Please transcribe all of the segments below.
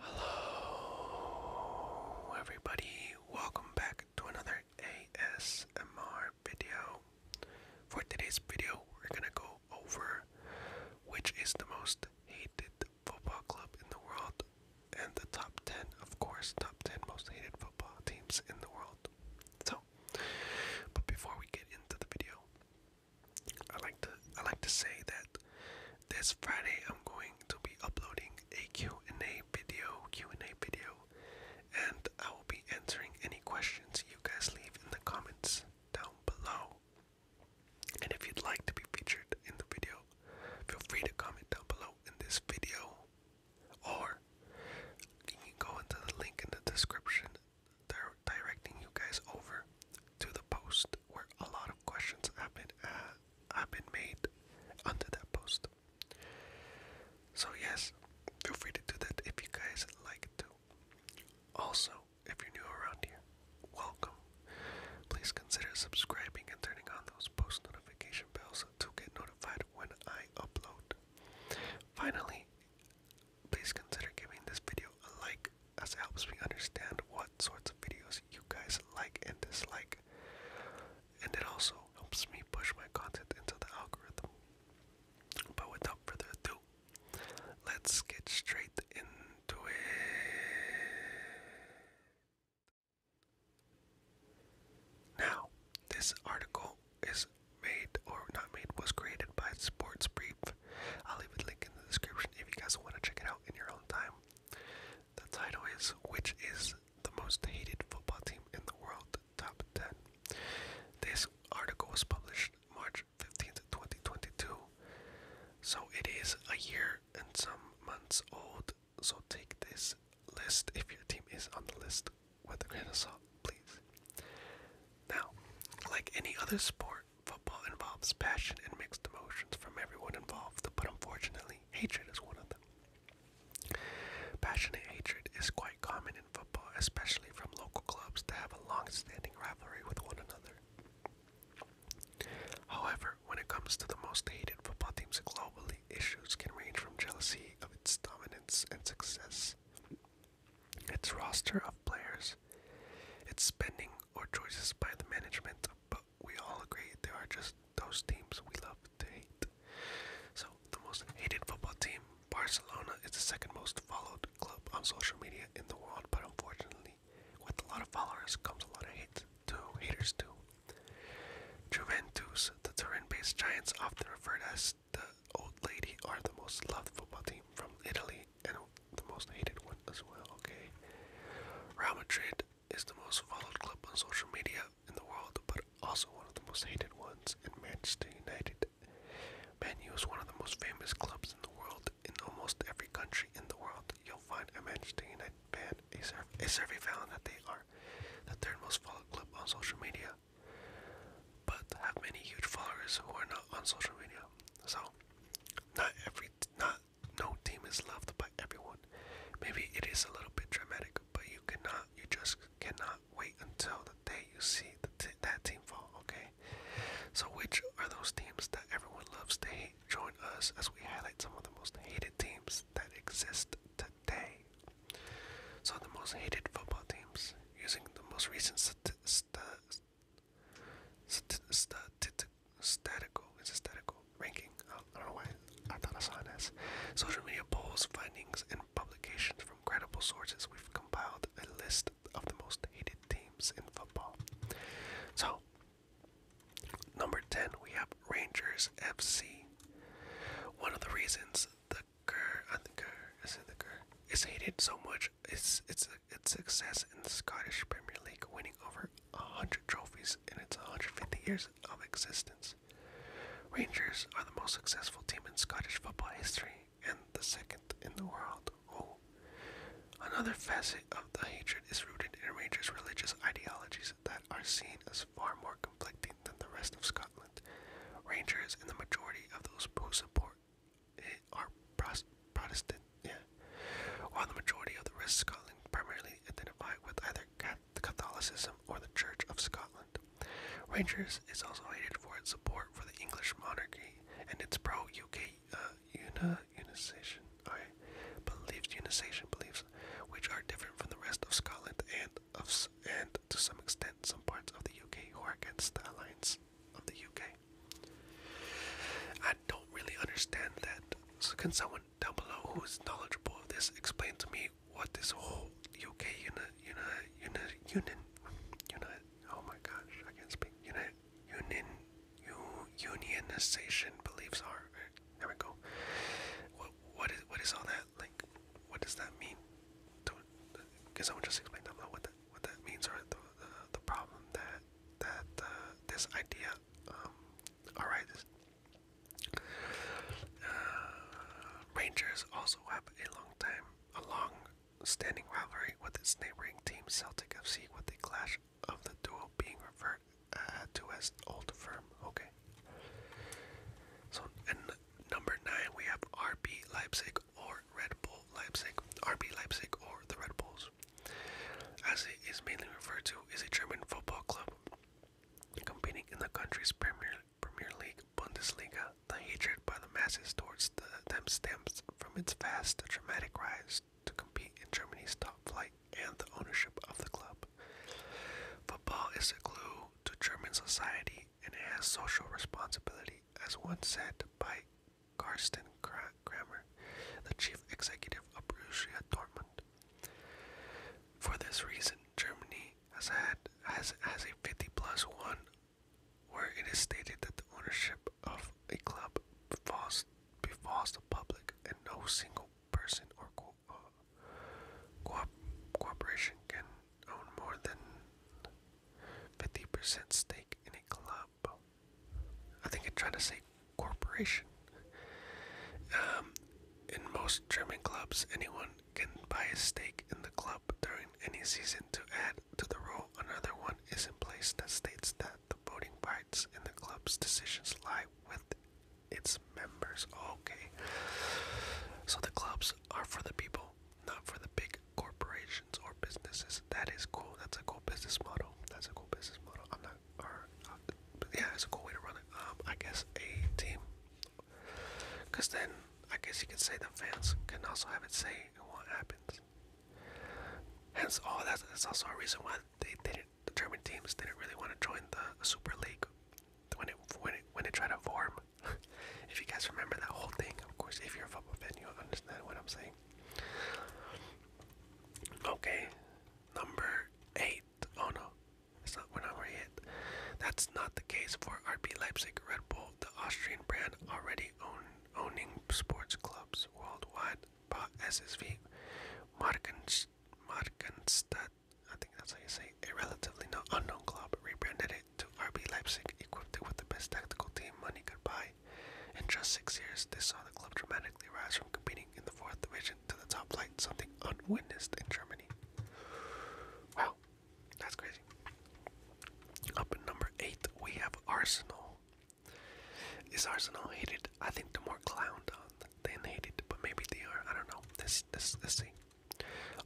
Hello, everybody. Welcome back to another ASMR video. For today's video, we're gonna go over which is the most hated football club in the world and the top 10, of course, top 10 most hated football teams in the world. So, but before we get into the video, I like to I like to say that this Friday I'm going to be uploading a Q&A video, Q&A video, and I will be answering any questions you guys leave in the comments down below. And if you'd like to be featured in the video, Feel free to comment down below in this video, or you can go into the link in the description. They're directing you guys over to the post where a lot of questions have been uh, have been made under that post. So yes, feel free to do that if you guys like to. Also, if you're new around here, welcome. Please consider subscribing and turning on those post notification bells to get notified when I upload. Finally, please consider giving this video a like as it helps me understand what sorts of videos you guys like and dislike. And it also helps me push my content into the algorithm. But without further ado, let's get straight into it. Now, this article is made or not made was created by Sports Brief. I'll leave a link in the description if you guys want to check it out in your own time. The title is Which is the most hated football team in the world? Top 10. This article was published March 15th, 2022. So it is a year and some months old so take this list if your team is on the list with a grain of salt, please. Now, like any other sport, football involves passion and mixed emotions from everyone involved, but unfortunately, hatred is one of them. Passionate hatred is quite common in football, especially from local clubs that have a long standing rivalry with one another. However, when it comes to the most hated football teams globally, issues can range from jealousy of its dominance and success, its roster of players, its spending or choices by the management, but we all agree there are just those teams we love to hate. So, the most hated football team, Barcelona, is the second most followed club on social media in the world, but unfortunately, with a lot of followers comes a lot of hate too, haters too. Juventus, the Turin-based Giants, often referred as the old lady, are the most loved football team from Italy and the most hated one as well. Okay, Real Madrid is the most followed club on social media in the world, but also one of the most hated ones. In Manchester United, Man U is one of the most famous clubs in the world. In almost every country in the world, you'll find a Manchester United ban a, survey found that they are the third most followed club on social media, but have many huge followers who are not on social media. So, not every, not no team is loved by everyone. Maybe it is a little bit dramatic, but you cannot, you just cannot wait until the day you see the that team fall. Okay. So, which are those teams that everyone loves to hate? today, join us as we highlight some of the most hated teams that exist today. So, the most hated football teams, using the most recent st st st st statistical, it's a statistical ranking. I don't know why I thought I saw an S. Social media polls, findings, and publications from credible sources. We've compiled a list of the most hated teams in football. So, Number 10, we have Rangers FC. One of the reasons the Gur, I think is the Gur, is hated so much is its its success in the Scottish Premier League, winning over 100 trophies in its 150 years of existence. Rangers are the most successful team in Scottish football history and the second in the world. Oh, Another facet of the hatred is rooted in Ranger's religious ideologies that are seen as far more conflicting than the rest of Scotland. Rangers and the majority of those who support it are Protestant, While the majority of the rest of Scotland primarily identify with either Catholicism or the Church of Scotland. Rangers is also hated for its support for the English monarchy and its pro-UK uh, una, unisation, I beliefs, unisation beliefs, which are different from the rest of Scotland and of and to some extent some parts of the UK who are against the alliance of the UK. I don't really understand that. So can someone down below who is knowledgeable of this explain to me what this whole UK uni, uni, uni, uni, uni, oh my gosh, I can't speak, uni, union, unionization beliefs are. There we go. What what is what is all that like? What does that mean? Can someone just explain to me what that what that means or the the, problem that that uh, this idea um, uh, Rangers also have a long time, a long standing rivalry with its neighboring team Celtic FC with a clash of the duo being referred uh, to as Old Firm. Okay. So, and number nine, we have RB Leipzig or Red Bull Leipzig. RB Leipzig or the Red Bulls, as it is mainly referred to, is a German football club competing in the country's Premier Premier League, Bundesliga. The hatred by the masses towards the, them stems from its vast, dramatic rise to compete in Germany's top flight and the ownership of the club. Football is a glue to German society and it has social responsibility, as one said by Carsten Kramer, the chief executive of Borussia Dortmund. For this reason, Germany has had has, has a 50 plus 1 where it is stated that the ownership of a club falls be false public, and no single person or co uh, corporation can own more than 50% stake in a club. I think I'm trying to say corporation. Um, in most German clubs, anyone can buy a stake in the club during any season to add to the rule. Another one is in place that states that the voting by and the club's decisions lie with its members. Okay. So the clubs are for the people, not for the big corporations or businesses. That is cool. That's a cool business model. That's a cool business model. I'm not, or, uh, yeah, it's a cool way to run it. Um, I guess a team. Because then, I guess you could say the fans can also have it say in what happens. Hence, oh, that's, that's also a reason why they, they didn't, the German teams didn't really want to join the Super League when it when it when it tried to form. if you guys remember that whole thing, of course, if you're a football fan, you'll understand what I'm saying. Okay, number eight. Oh no, it's not. when I'm ready That's not the case for RB Leipzig. Red Bull, the Austrian brand, already own owning sports clubs worldwide as his feet. Markenstadt, I think that's how you say, a relatively no, unknown club, rebranded it to RB Leipzig, equipped it with the best tactical team money could buy. In just six years, this saw the club dramatically rise from competing in the fourth division to the top flight, something unwitnessed in Germany. Wow, that's crazy. Up at number eight, we have Arsenal. Is Arsenal hated? I think they're more clowned on uh, than hated, but maybe they are. I don't know. This, this, let's see.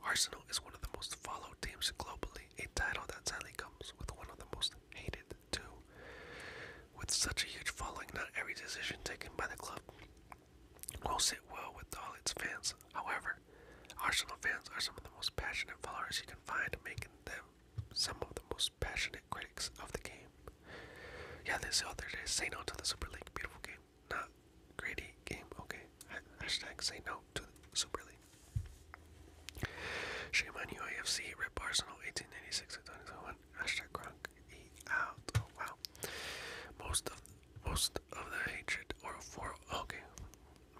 Arsenal is one of the most followed teams globally, a title that sadly comes with one of the most hated too. With such a huge following, not every decision taken by the club will sit well with all its fans. However, Arsenal fans are some of the most passionate followers you can find, making them some of the most passionate critics of the game. Yeah, this other day, say no to the Super League. Beautiful game. Not greedy game. Okay. Hashtag say no to the Super League. Shame on you, AFC. Arsenal 1896 2021. Hashtag Gronk. Eat out. Oh, wow. Most of most of the hatred or for okay.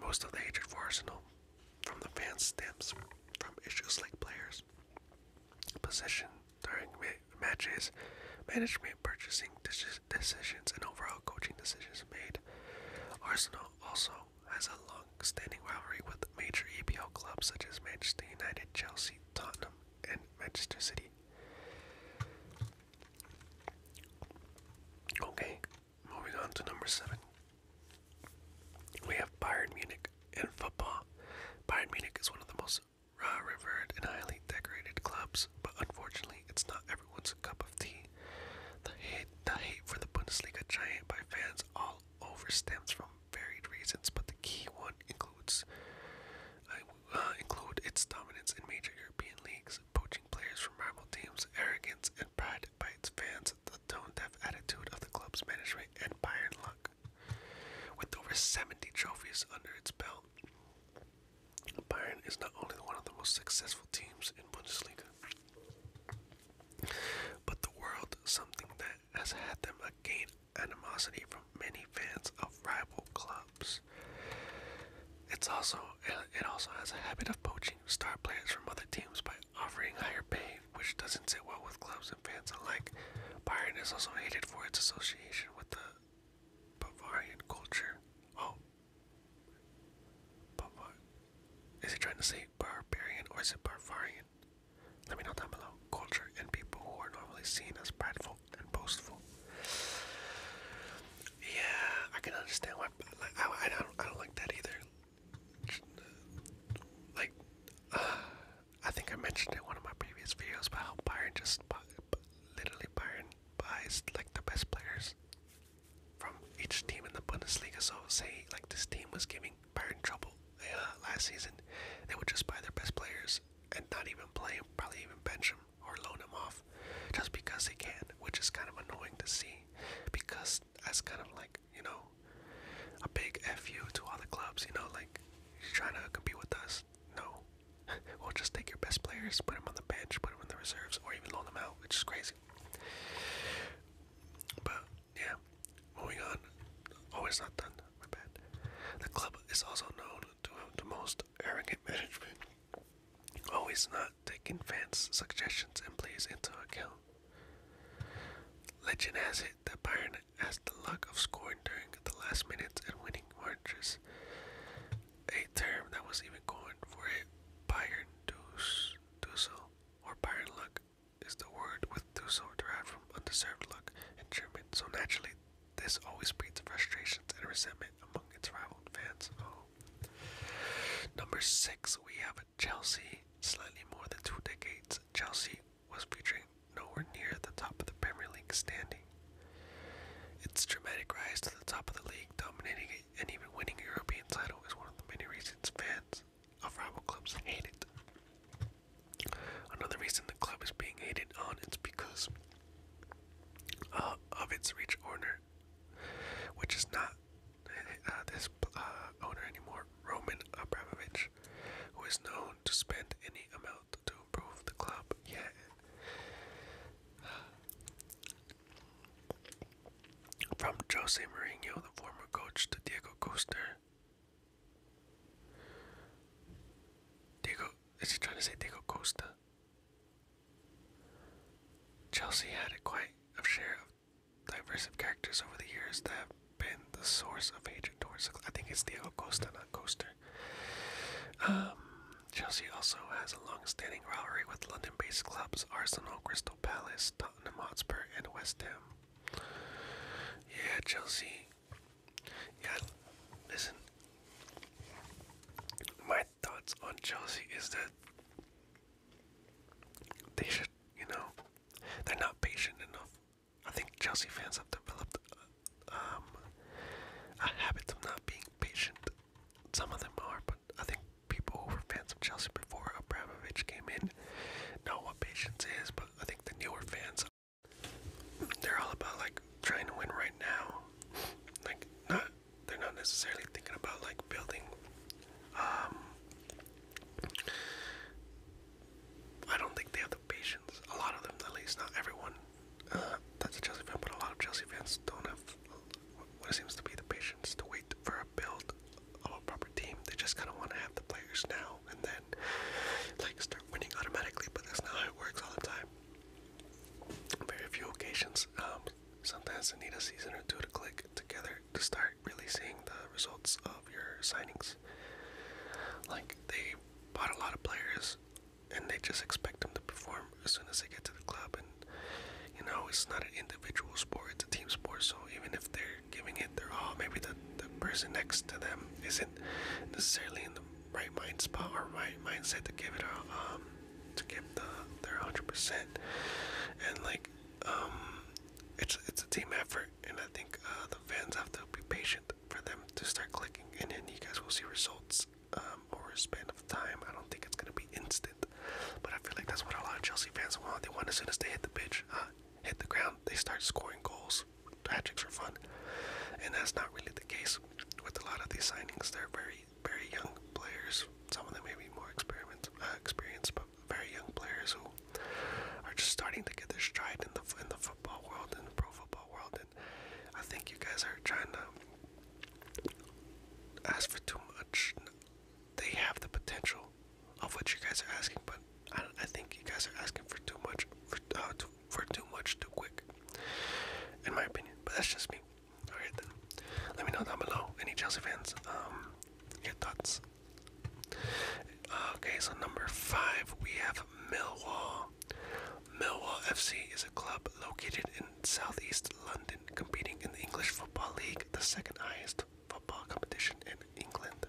Most of the hatred for Arsenal from the fans stems from issues like players, position during matches, management purchasing decisions, and overall coaching decisions made. Arsenal also has a long standing rivalry with major EPL clubs such as Manchester United, Chelsea, Tottenham, and Manchester City. Okay, Moving on to number seven, we have Bayern Munich in football. Bayern Munich is one of the most revered and highly decorated clubs, but unfortunately, it's not everyone's cup of tea. The hate, the hate for the Bundesliga giant by fans all over stems from varied reasons, but the key one includes uh, include its dominance in major European leagues, poaching players from rival teams, arrogance, and pride by its fans, the tone-deaf attitude of the club's management and Bayern luck. With over 70 trophies under its belt, Bayern is not only one of the most successful teams in Bundesliga, but the world, something that has had them gain animosity from many fans of rival clubs. It's also it also has a habit of poaching star players from other teams by offering higher pay, which doesn't sit well with clubs and fans alike. Bayern is also hated for its association with the Bavarian culture. Oh. Bavar. Is he trying to say barbarian or is it Bavarian? Let me know down below. Culture and people who are normally seen as prideful and boastful. Yeah, I can understand why. I, I, don't, I don't like that either like uh, I think I mentioned in one of my previous videos about how Byron just literally Byron buys like the best players from each team in the Bundesliga. So say like this team was giving Byron trouble uh, last season, they would just buy their best players and not even play them, probably even bench them or loan them off, just because they can, which is kind of annoying to see, because that's kind of like you know, a big fu to all the clubs. You know, like you're trying to compete with us. No, we'll just take your best players, put them on the bench, put them in the reserves, or even loan them out, which is crazy. But yeah, moving on. Oh, not done. My bad. The club is also known to have the most arrogant management. Always not taking fans' suggestions and plays into account. Legend has it that Byron has the luck of scoring during the last minutes and winning matches. a term that was even coined for it. Byron Deuce, Dussel, or Byron luck, is the word with Dussel derived from undeserved luck in German, so naturally, this always breeds frustrations and resentment among its rival fans. Oh. Number six, we have Chelsea slightly more than two decades, Chelsea was featuring nowhere near the top of the Premier League standing. Its dramatic rise to the top of the league, dominating it, and even winning European title is one of the many reasons fans of rival clubs hate it. Another reason the club is being hated on is because uh, of its rich owner, which is not uh, this uh, owner anymore, Roman Abramovich, who is known to spend any amount to improve the club. Yeah. From Jose Mourinho, the former coach, to Diego Costa. Diego, is he trying to say Diego Costa? Chelsea had a quite a share of diverse of characters over the years that have been the source of hatred towards. I think it's Diego Costa, not Coaster. Um, Chelsea also has a long-standing rivalry with London-based clubs Arsenal, Crystal Palace, Tottenham Hotspur, and West Ham. Yeah, Chelsea. Yeah, listen. My thoughts on Chelsea is that they should, you know, they're not patient enough. I think Chelsea fans have developed uh, a habit of not being patient. Some of them are, but I think people who were fans of Chelsea before Abramovich came in know what patience is. But I think the newer fans, they're all about like trying to win right now, like not they're not necessarily thinking about like building um, I don't think they have the patience. A lot of them, at least, not everyone. Uh, that's a Chelsea fan, but a lot of Chelsea fans don't have what seems to be the patience to wait for a build of a proper team. They just kind of want to have the players now and then, like, start winning automatically. But that's not how it works all the time. Very few occasions. Um, Sometimes they need a season or two to click together to start really seeing the results of your signings. Like, they bought a lot of players and they just expect them to perform as soon as they get to the club. And, you know, it's not an individual sport, it's a team sport. So even if they're giving it their all, maybe the, the person next to them isn't necessarily in the right mind spot or right mindset to give it all. Um, to give the their hundred percent, and like um, it's it's a team effort, and I think uh, the fans have to be patient for them to start clicking, and then you guys will see results um, over a span of time. I don't think it's gonna be instant, but I feel like that's what a lot of Chelsea fans want. They want as soon as they hit the pitch, uh, hit the ground, they start scoring goals. Tactics are fun, and that's not really the case with a lot of these signings. They're very very, young players. Some of them may be more experiment, uh, experienced, but very young players who are just starting to get their stride in the in the football world and the pro football world. And I think you guys are trying to ask for too much. They have the potential of what you guys are asking, but I, I think you guys are asking for too much for, uh, too, for too much too quick, in my opinion. But that's just me. Alright Let me know down below, any Chelsea fans, um, your thoughts. Okay, so number five, we have Millwall. Millwall FC is a club located in southeast London, competing in the English Football League, the second highest football competition in England.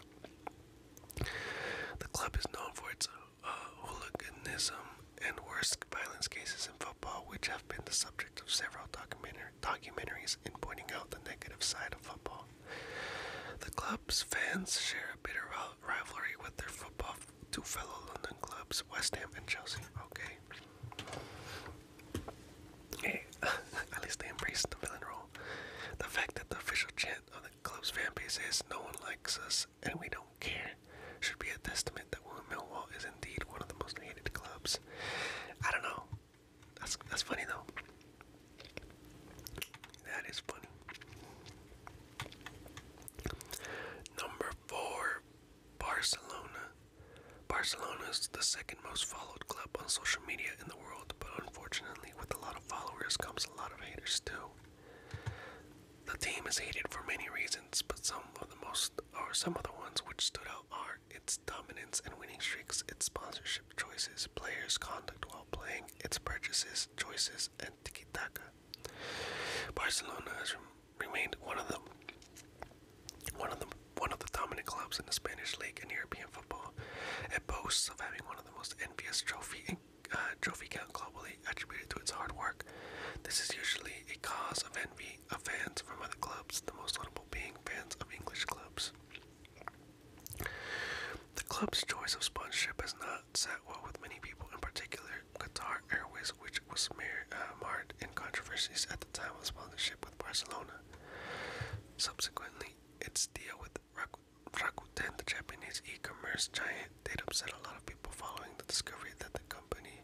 The club is known for its uh, hooliganism and worst violence cases involving which have been the subject of several documentar documentaries in pointing out the negative side of football. The club's fans share a bitter rivalry with their football two fellow London clubs, West Ham and Chelsea. Okay. at least they embrace the villain role. The fact that the official chant of the club's fan base is "No one likes us, and we don't care" should be a testament that Willem Millwall is indeed one of the most clubs. I don't know. That's that's funny though. That is funny. Number four, Barcelona. Barcelona is the second most followed club on social media in the world, but unfortunately, with a lot of followers comes a lot of haters too. The team is hated for many reasons, but some of the most or some of the ones which stood out are its dominance and winning streaks, its sponsorship choices, players' conduct while playing, its purchases, choices, and tiki taka. Barcelona has re remained one of the one of the one of the dominant clubs in the Spanish league and European football. It boasts of having one of the most envious trophy uh, trophy count globally, attributed to its hard work. This is usually a cause of envy of fans from other clubs, the most notable being fans of English clubs. The club's choice of sponsorship has not sat well with many people, in particular Qatar Airways, which was uh, marred in controversies at the time of sponsorship with Barcelona. Subsequently, its deal with Rakuten, the Japanese e-commerce giant, did upset a lot of people following the discovery that the company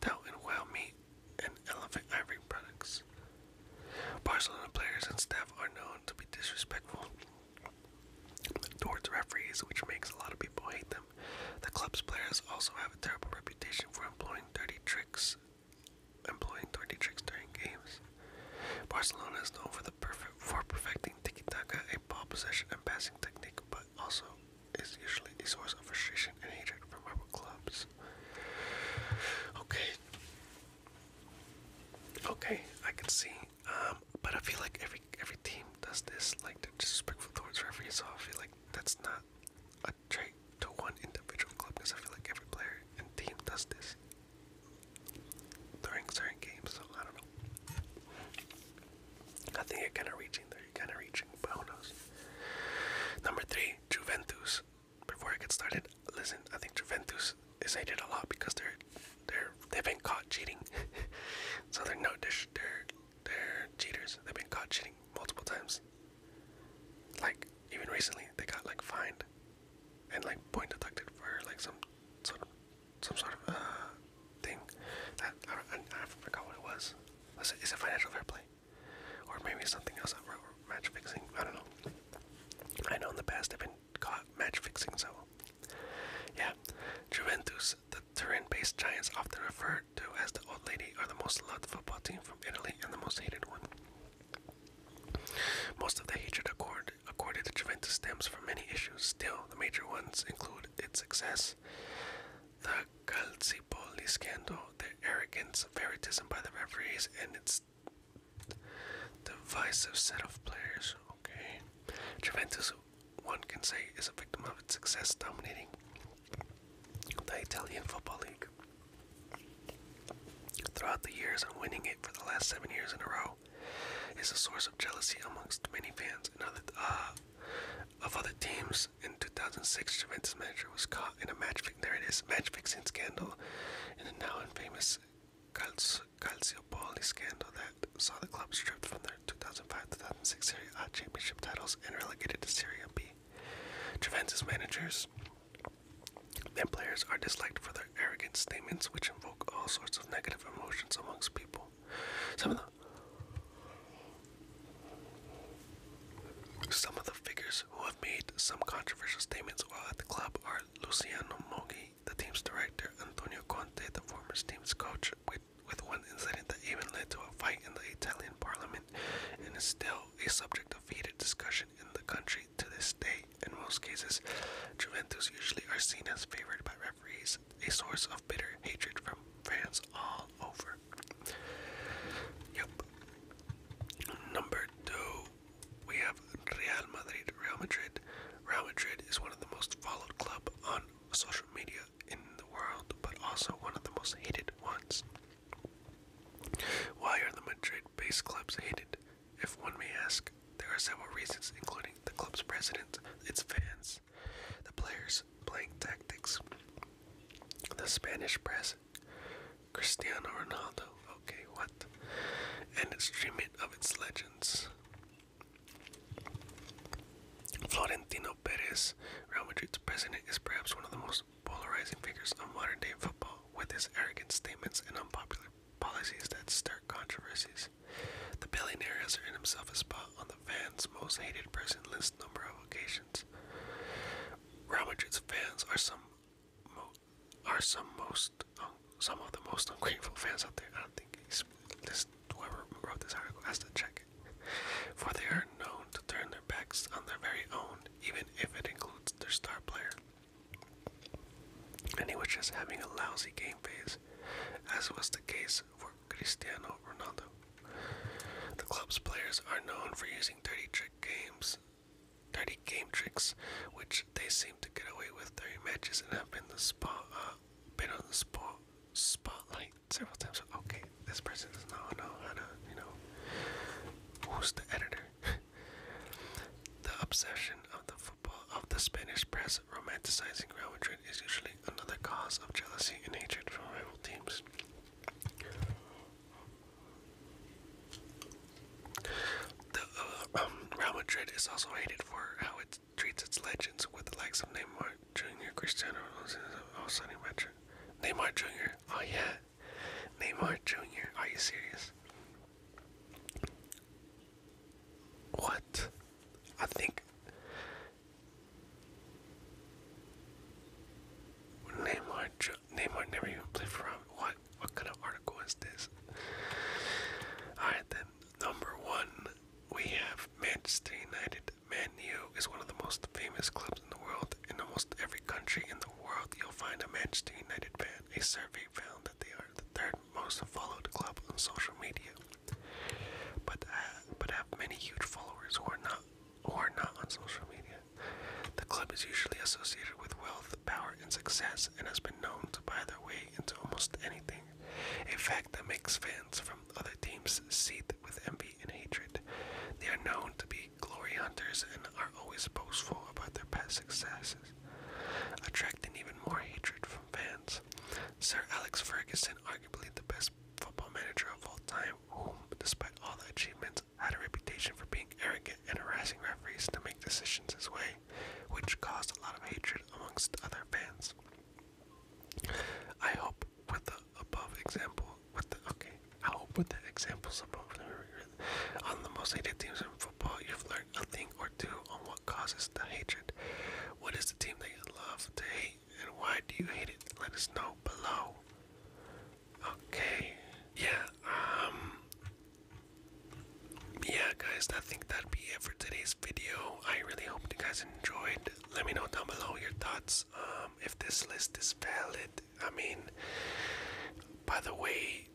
dealt in whale meat and Elephant Ivory products. Barcelona players and staff are known to be disrespectful towards referees, which makes a lot of people hate them. The club's players also have a terrible reputation for employing dirty tricks, employing dirty tricks during games. Barcelona is known for the perfect for perfecting tiki-taka, a ball possession and passing technique, but also is usually a source of frustration and hatred from rival clubs. Okay. Okay, I can see. Um, but I feel like every every team does this, like disrespectful towards referees, so I feel like that's not a trait to one individual club because I feel like every player and team does this during certain games, so I don't know. I think you kind of reaching there. you kind of reaching, but who knows? Number three, Juventus. Before I get started, listen. I think Juventus is hated a lot because they're they're they've been caught cheating. so they're no they they're they're cheaters. They've been caught cheating multiple times. Like even recently, they got like fined and like point deducted for like some sort of some sort of uh, thing. That I, I, I forgot what it was. Was it, is it financial fair play, or maybe something else? Or match fixing? I don't know. I know in the past I've been caught match fixing, so yeah. Juventus, the Turin-based Giants, often referred to as the old lady, are the most loved football team from Italy and the most hated one. Most of the hatred accord, accorded to Juventus stems from many issues. Still, the major ones include its success Renaissance. The Calcipoli scandal, the arrogance, favoritism by the referees, and its divisive set of players. Okay. Juventus, one can say, is a victim of its success dominating the Italian Football League throughout the years and winning it for the last seven years in a row is a source of jealousy amongst many fans and other, uh, of other teams. In 2006, Juventus manager was caught in a match fixing. There it is, match fixing scandal, in the now infamous Calcio Calciopoli scandal that saw the club stripped from their 2005-2006 Serie A championship titles and relegated to Serie B. Juventus managers and players are disliked for their arrogant statements, which evoke all sorts of negative emotions amongst people. Some of the some of the figures who have made some controversial statements while at the club are Luciano Moggi, the team's director, Antonio Conte, the former team's coach, with, with one incident that even led to a fight in the Italian parliament, and is still a subject of heated discussion in the country to this day. In most cases, Juventus usually are seen as favored by referees a source of bitter hatred from fans all over. Yep. Number two, we have Real Madrid. Real Madrid. Real Madrid is one of the most followed club on social media in the world, but also one of the most hated ones. Why are the Madrid-based clubs hated? If one may ask, there are several reasons, including the club's president, its fans, the players' playing tactics. The Spanish press, Cristiano Ronaldo, okay, what? And its treatment of its legends. Florentino Perez, Real Madrid's president, is perhaps one of the most polarizing figures of modern day football, with his arrogant statements and unpopular policies that stir controversies. The billionaire has earned himself a spot on the fans' most hated person list number of occasions. Real Madrid's fans are some are some most um, some of the most ungrateful fans out there. I don't think he's, whoever wrote this article has to check it, for they are known to turn their backs on their very own, even if it includes their star player. And he was having a lousy game phase, as was the case for Cristiano Ronaldo. The club's players are known for using dirty trick games, dirty game tricks, which they seem to get away with during matches and have been the spot, uh, been on the spot spotlight several times. Okay, this person does not know how to, you know, who's the editor. the obsession of the football of the Spanish press romanticizing Real Madrid is usually another cause of jealousy and hatred from rival teams. Uh, um, Real Madrid is also hated for how it treats its legends, with the likes of Neymar Jr., Cristiano Ronaldo, oh, Neymar Jr. Oh yeah, Neymar Jr. Are you serious? What? I think Neymar, Neymar never even played for What? What kind of article is this? All right, then number one, we have Manchester United. Man U is one of the most famous clubs in the world. In almost every country in the world, you'll find a Manchester United fan. A survey found that they are the third most followed club on social media but uh, but have many huge followers who are not who are not on social media. The club is usually associated with wealth, power, and success, and has been known to buy their way into almost anything. A fact that makes fans from other teams seethe with envy and hatred. They are known to be glory hunters and are always boastful about their past successes, attracting even more hatred from fans. Sir Alex Ferguson, arguably the best football manager of all time, whom, despite all the achievements, had a reputation for being arrogant and harassing referees to make decisions his way, which caused a lot of hatred amongst other fans. I hope with the above example, with the okay, I hope with the examples above on the most hated teams in football, you've learned a thing or two on what causes the hatred. What is the team that you love to hate? and why do you hate it? Let us know below. Okay, yeah, um, yeah, guys, I think that'd be it for today's video. I really hope you guys enjoyed. Let me know down below your thoughts. Um, if this list is valid, I mean, by the way,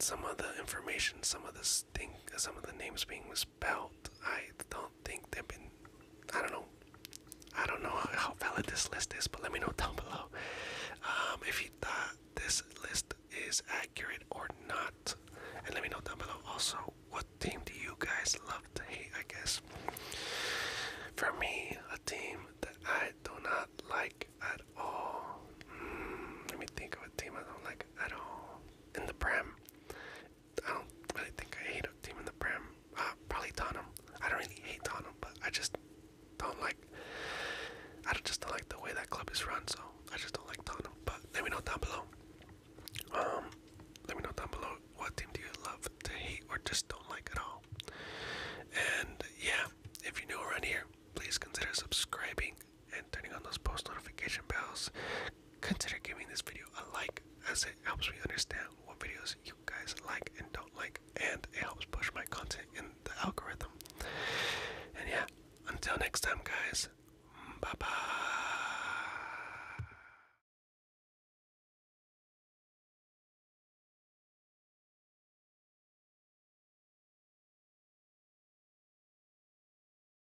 some of the information, some of the think some of the names being misspelled. I don't think they've been. I don't know. I don't know how valid this list is, but let me know down below um, if you thought this list is accurate or not. And let me know down below also what team do you guys love to hate, I guess. For me, a team that I do not like at all. Hmm, let me think of a team I don't like at all. In the Prem, I don't really think I hate a team in the Prem. Uh, probably Tottenham. I don't really hate Tottenham, but I just don't like. I don't just don't like the way that club is run, so I just don't like Tottenham. But let me know down below. Um, let me know down below what team do you love to hate or just don't like at all. And yeah, if you're new around here, please consider subscribing and turning on those post notification bells. Consider giving this video a like as it helps me understand what videos you guys like and don't like, and it helps push my content in the algorithm. And yeah, until next time, guys, bye bye.